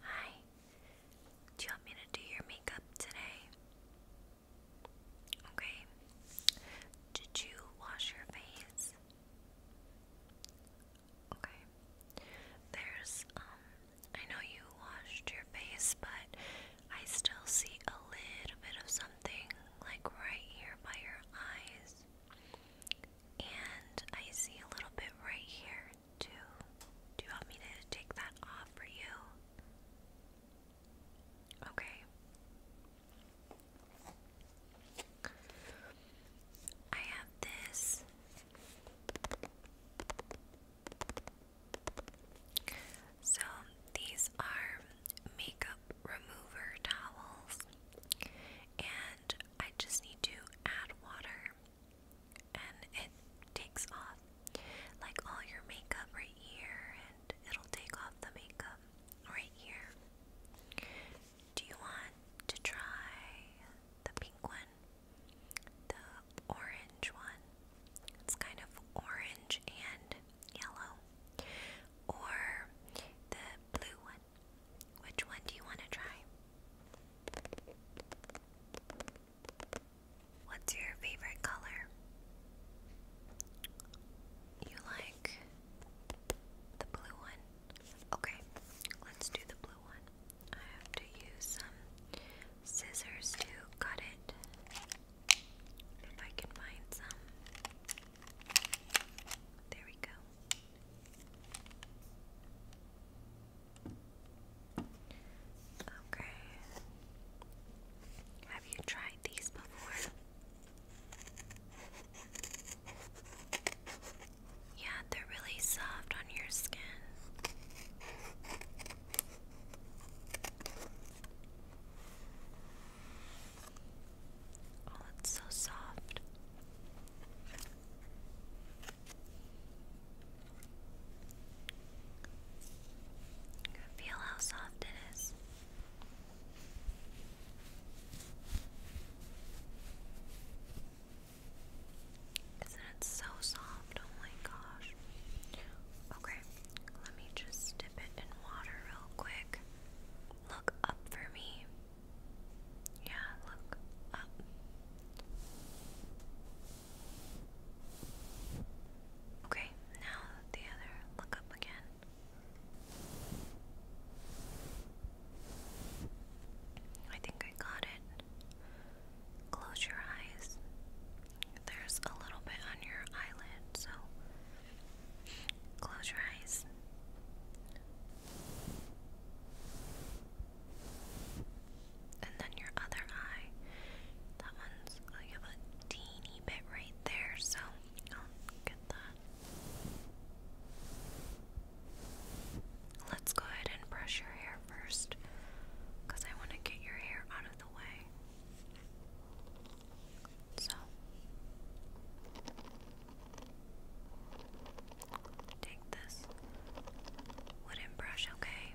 Hi, do you want me to do your makeup today? Okay. Did you wash your face? Okay. There's, um, I know you washed your face, but I still see a little bit of something like right here by your eyes. And I see a little bit right here two. Do you want me to take that off for you? Okay. I have this so these are makeup remover towels and I just need to add water and it takes off like all your makeup right here and it'll take off the makeup right here. Do you want to try the pink one? The orange one? It's kind of orange and yellow. Or the blue one? Which one do you want to try? What's your favorite color? You like the blue one? Okay, let's do the blue one. I have to use scissors to cut it. If I can find some. There we go. Okay. Have you tried these before? Yeah, they're really soft on your skin. Oh, it's so soft. Feel how soft it is. Isn't it so soft? Oh my gosh. Okay, let me just dip it in water real quick. Look up for me. Yeah, look up. Okay, now the other look up again. I think I got it. Close your eyes. There's a little bit on your eyelid, so close your eyes. And then your other eye. That one's, oh, a teeny bit right there, so get that. Let's go ahead and brush your hair first, because I want to get your hair out of the way. So. Take this wooden brush, okay?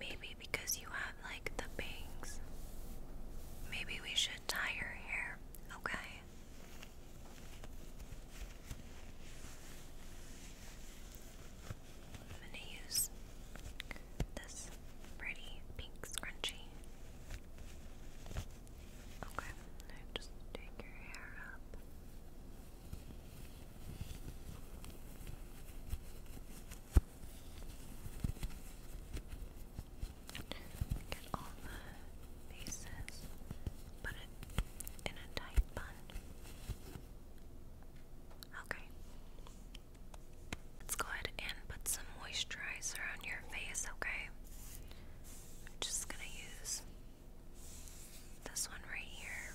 Maybe because you have like the bangs, maybe we should tie your hair, okay? I'm going to use this pretty pink scrunchie. Okay, just take your hair up. Get all the pieces, put it in a tight bun. Okay. Let's go ahead and put some moisturizer on your face, okay? I'm just gonna use this one right here.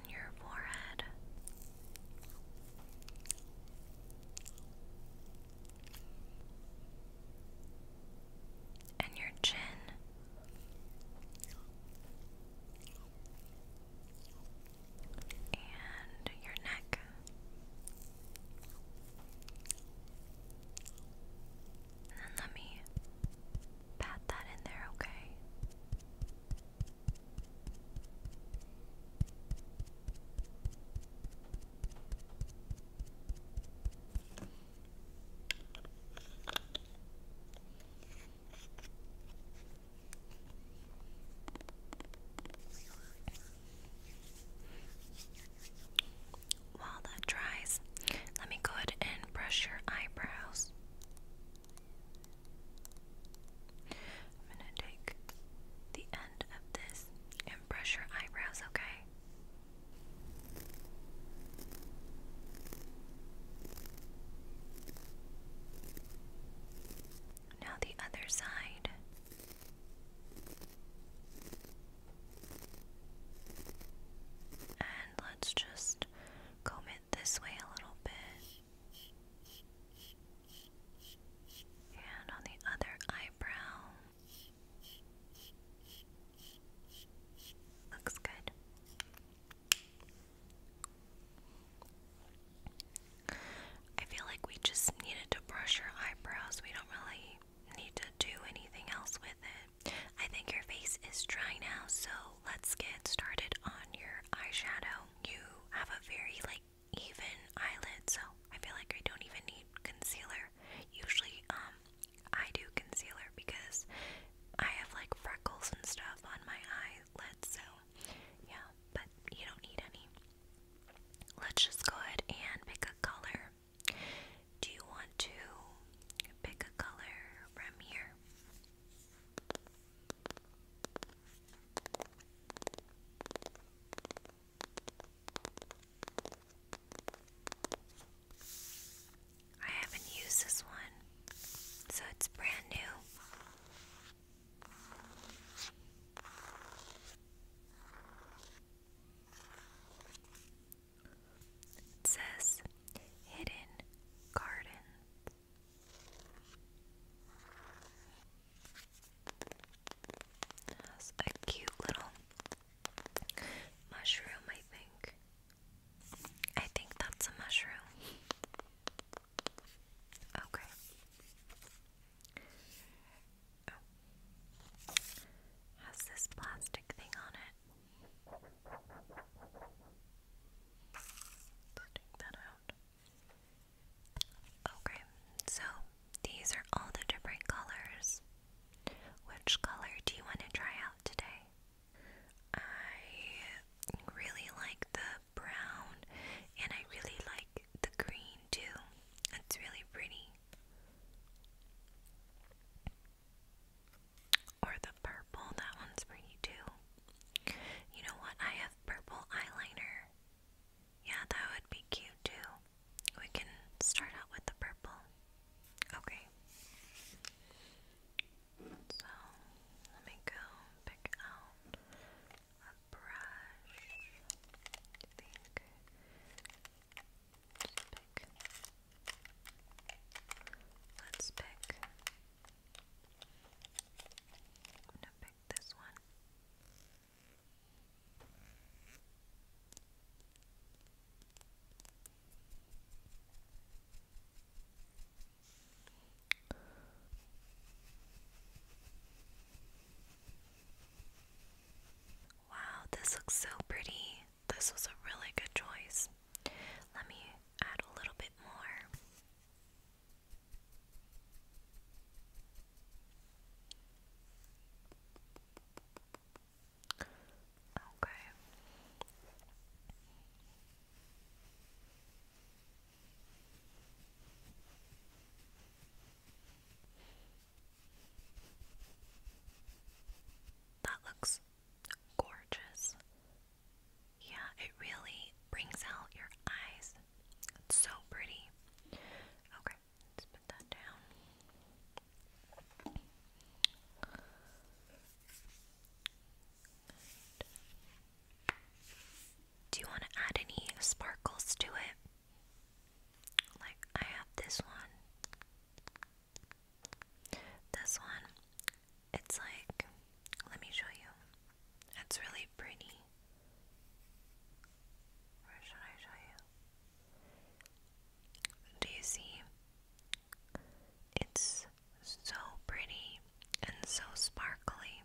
your forehead. And your chin, and your neck, and let me pat that in there, okay? While that dries, let me go ahead and brush your eyebrows. I'm gonna take the end of this and brush your eyebrows, okay? Now the other side. And let's just comb it this way a little bit. And on the other eyebrow. Looks good. I feel like we just needed to brush your eyebrows. We don't really need to do anything else with it. I think your face is dry now, so let's get started on your eyeshadow you have a very like even eyelid, so I feel like I don't even need concealer. Usually, um, I do concealer because I have like freckles and stuff on my eyelids, so yeah, but you don't need any. Let's just go ahead and pick a color. Do you want to pick a color from here? I haven't used this one, so it's brand new. It says Hidden Gardens. That's a cute little mushroom, I think. I think that's a mushroom. Okay. Oh. Has this plastic thing on it? Let's take that out. Okay, so these are all the different colors. Which color do you want to try out today? I really like the brown and I really like the green too. It's really pretty. Or the purple, that one's pretty too. You know what? I purple eyeliner. Yeah, that would be cute too. We can start out with the purple. Okay. So, let me go pick out a brush. I Let's pick. I'm gonna pick this one. Wow, this looks so pretty. This was a really good choice. Let me add a little bit more. Okay. That looks gorgeous. Yeah, it really brings out your eyes. It's so pretty. Okay, put that down. Do you want to add any sparkles to it? Like I have this one. This one. It's like, let me show you. It's really pretty. Where should I show you? Do you see? It's so pretty and so sparkly.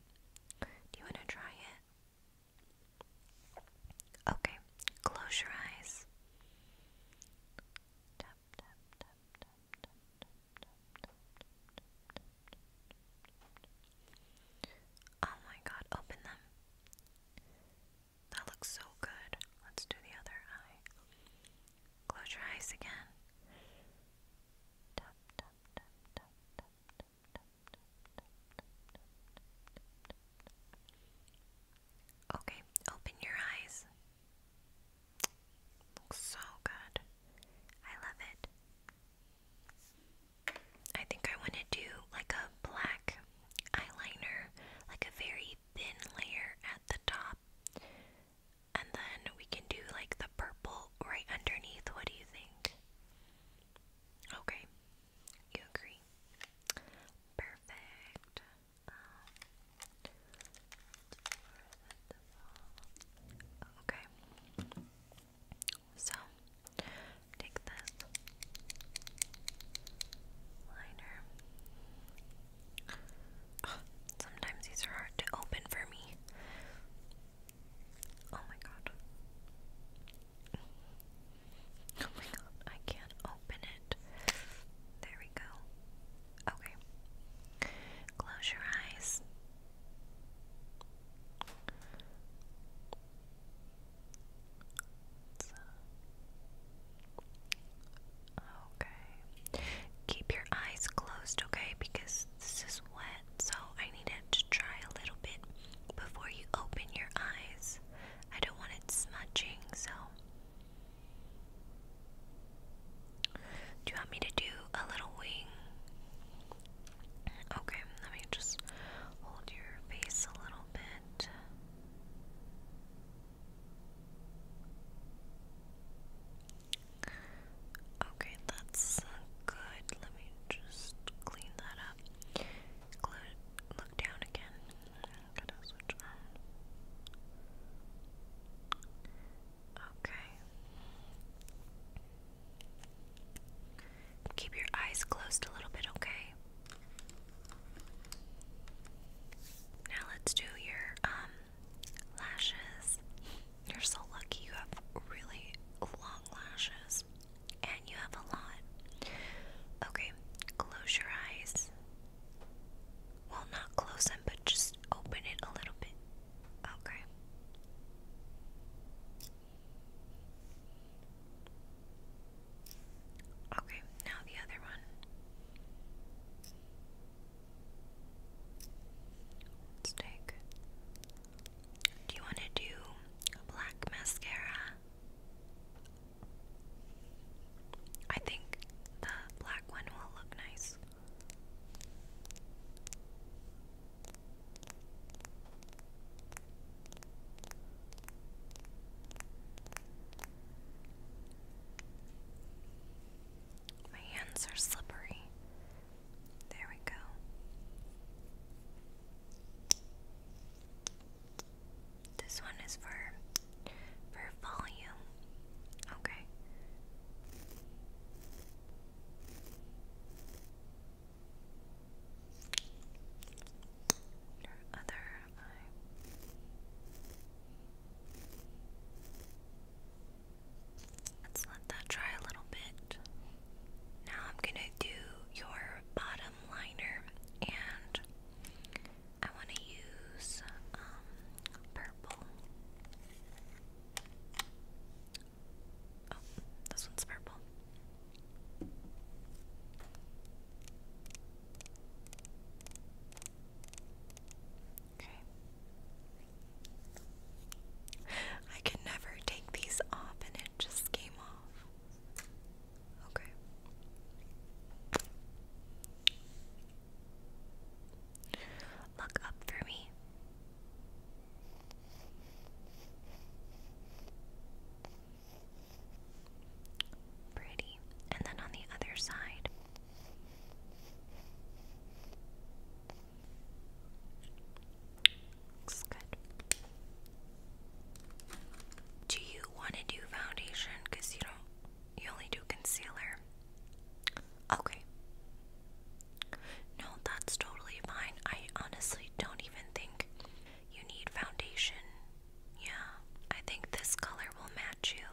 Do you want to try it? Okay, close your eyes. Tap, tap, tap, tap, tap, tap, Oh my god, open them. That looks so good. Let's do the other eye. Close your eyes again. Okay, open your eyes. Looks so good. I love it. I think I want to do like a black eyeliner, like a very thin layer at the top. And then we can do like the purple right underneath. What do you think? Okay, you agree. Perfect. Um, Okay. So, take this liner. sometimes these are hard to open for me. Oh my god. Oh my god, I can't open it. There we go. Okay. Close your eyes. Okay. Keep your eyes closed, okay? Because this is wet, so I need it to dry a little bit before you open your eyes. I don't want it smudging, so. Do you want me to do a little wing? Okay, let me just hold your face a little bit. Okay, that's good. Let me just clean that up. look down again. Okay. Keep your eyes closed a little bit, okay? Now let's do your um lashes. You're so lucky you have really long lashes and you have a lot. Okay, close your eyes. Well, not close them, but just open it a little bit. Okay. Okay, now the other one. Let's take. Do you want to do a black mascara? I think the black one will look nice. My hands are slippery. There we go. This one is for for volume. Okay. Your other eye. Let's let that dry a little bit. Now I'm gonna do your bottom liner, and I want to use um, purple. Oh, this one's purple. Okay. I could never take these off and it just came off. Okay. Look up for me. Pretty. And then on the other side. Looks good. Do you want to do foundation? Because you don't, you only do concealer. Okay. No, that's totally fine. I honestly don't even think you need foundation. Yeah, I think this color will match you.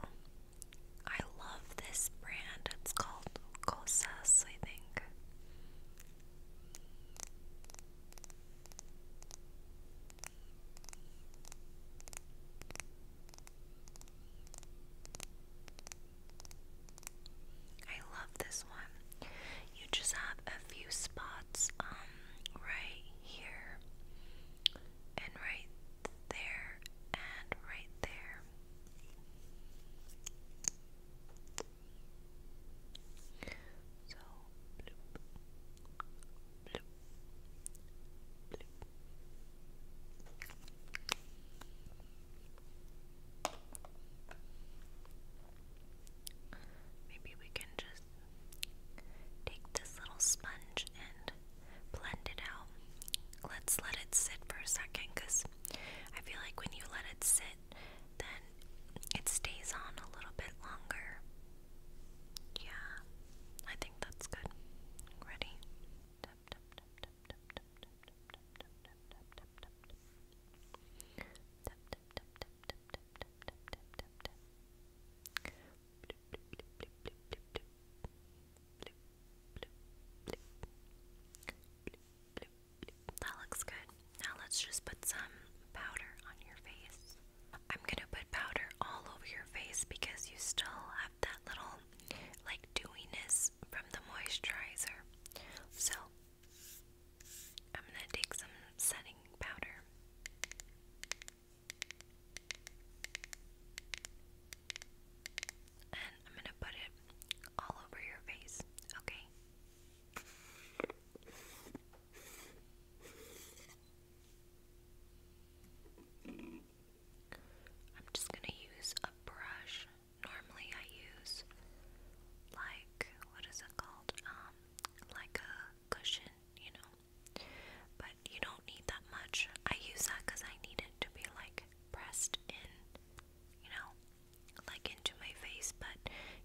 I love this brand. It's called Cosas, I think. I love this one. You just have a few spots um right here and right there and right there. So bloop, bloop, bloop. Maybe we can just take this little sponge and blend it out. Let's let it sit for a second because I feel like when you let it sit, then it stays on a little bit longer. Yeah, I think that's good. Ready? That looks good. Now let's just put some powder on your face. I'm going to put powder all over your face because you still have that little like dewiness from the moisturizer. So, I'm gonna take some setting powder. And I'm gonna put it all over your face, okay? I'm just gonna use a brush normally I use like what is it called? Um like a cushion, you know. But you don't need that much. I use that cuz I need it to be like pressed in, you know, like into my face, but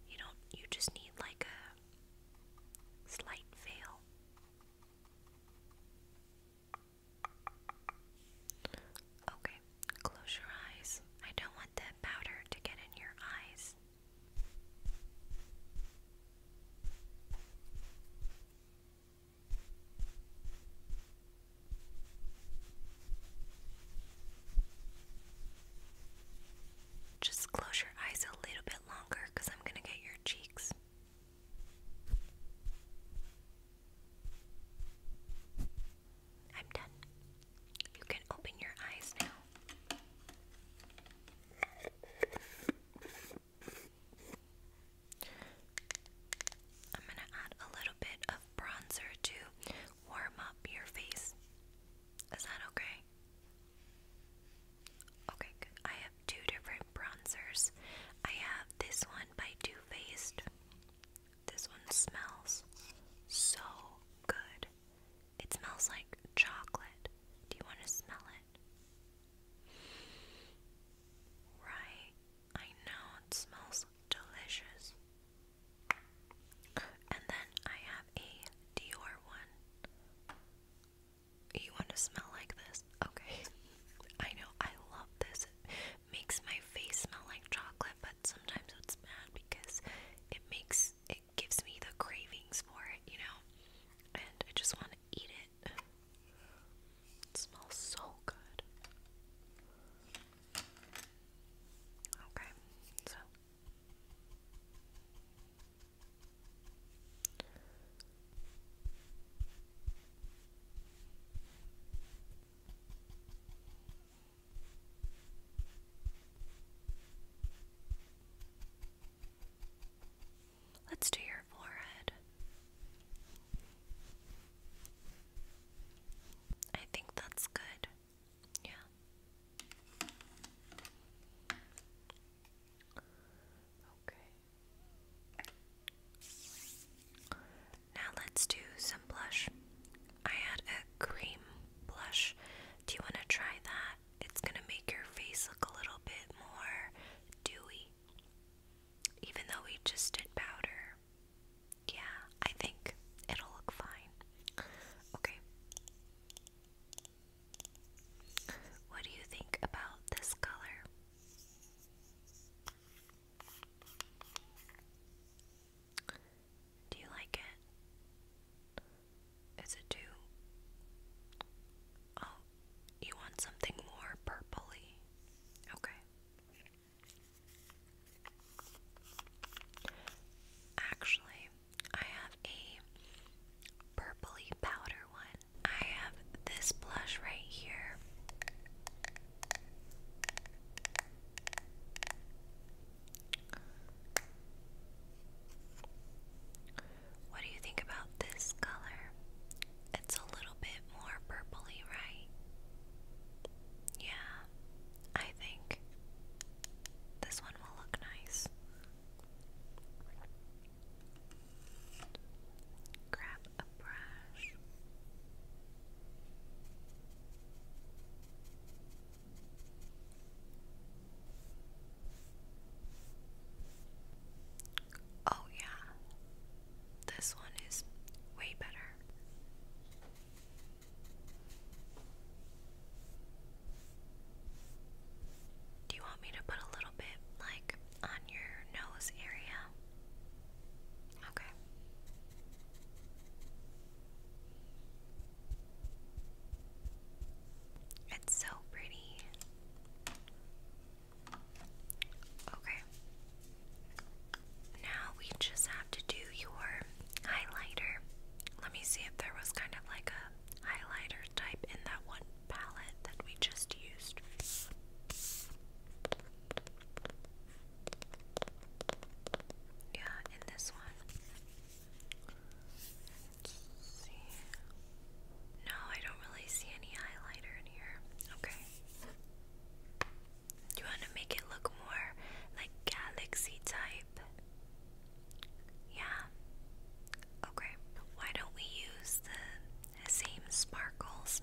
you don't you just need like a slight veil. Okay, close your eyes. I don't want that powder to get in your eyes. Just close your eyes a little bit longer because I'm going to get your cheeks. I'm done. You can open your eyes now. I'm going to add a little bit of bronzer to warm up your face. Is that okay? Okay, good. I have two different bronzers. I have this one by Too Faced, this one smells so good. It smells like chocolate. Do you want to smell it? Right. I know it smells delicious. And then I have a Dior one. You want to smell like this? Okay. I know. I love this makes my face smell like chocolate, but sometimes it's bad because it makes it gives me the cravings for it, you know? And I just want to eat it. It smells so good. Okay, so Let's do your forehead. I think that's good. Yeah. Okay. Now let's do some blush. I had a cream blush. Do you want to try that? It's going to make your face look a little bit more dewy. Even though we just did powder. Yeah, I think it'll look fine. Okay. What do you think about this color? Do you like it? Is it too? Oh, you want something more purpley? Okay. Actually, I have a purpley powder one. I have this blush right here. What do you think about this color? It's a little bit more purpley, right? Yeah, I think this one will look nice. Grab Oh, yeah, this one is way better. Do you want me to put a little bit like on your nose area? Okay. It's so pretty. Okay. Now we just have to do your highlighter. Let me see if there was kind of like a highlighter type in that one palette that we just used. Yeah, in this one. Let's see. No, I don't really see any highlighter in here. Okay. you want to make it look more like galaxy type? Yeah. Okay. Why don't we use the same sparkles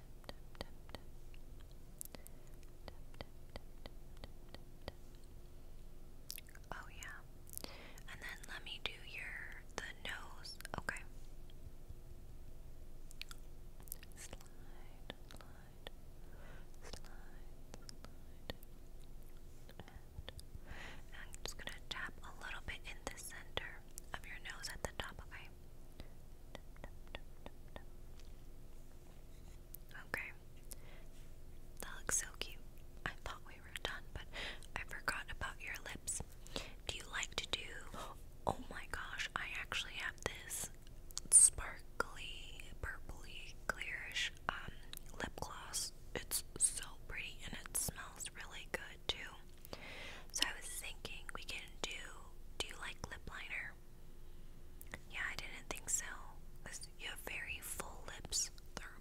Oh yeah. And then let me do your the nose. Okay. Slide, slide, slide, slide. I'm just gonna tap a little bit in the center of your nose at the top, okay? Okay. That looks so cute. I thought we were done, but I forgot about your lips. Do you like to do. Oh my gosh, I actually have this sparkly, purpley, clearish um, lip gloss. It's so pretty and it smells really good too. So I was thinking we can do do you like lip liner? Yeah, I didn't think so. you have very full lips. They're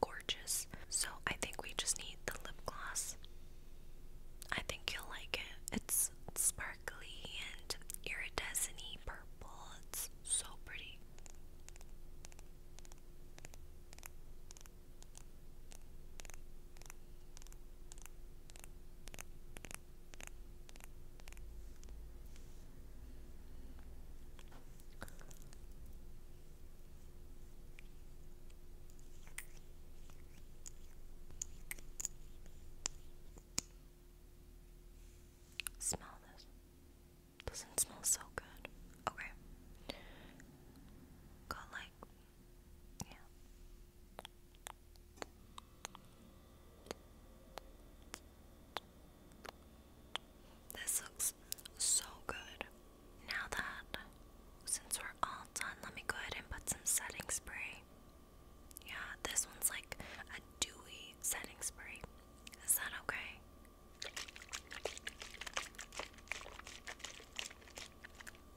gorgeous. So I think we just need the lip gloss. I think you'll like it. It's sparkly and iridescent purple. It's so pretty. Smell this. Doesn't smell so good. Okay. Got like this looks so good. Now that since we're all done, let me go ahead and put some setting spray. Yeah, this one's like a dewy setting spray. Is that okay?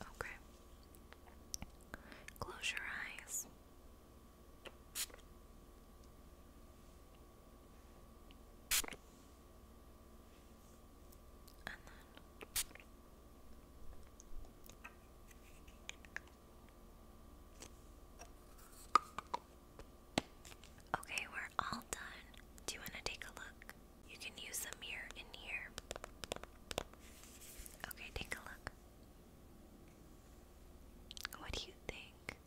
Okay. Close your eyes. And then Okay, we're all done. Do you want to take a look? You can use a mirror in here. Okay, take a look. What do you think?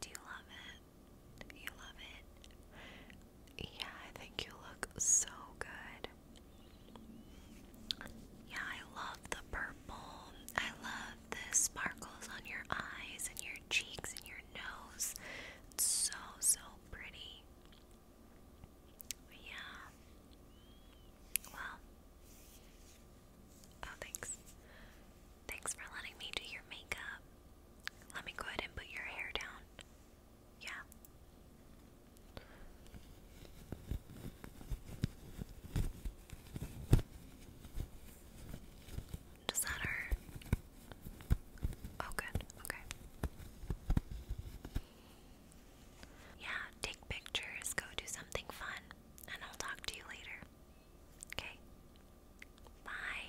Do you love it? You love it? Yeah, I think you look so good. Yeah, I love the purple. I love the sparkles on your eyes and your cheeks and your nose. It's so, so pretty. Yeah. Well. Oh, thanks. Thanks for letting me do your makeup. Let me go ahead and put your hair down. Yeah. Does Oh, good. Okay. Yeah, take pictures, go do something fun, and I'll talk to you later. Okay? Bye.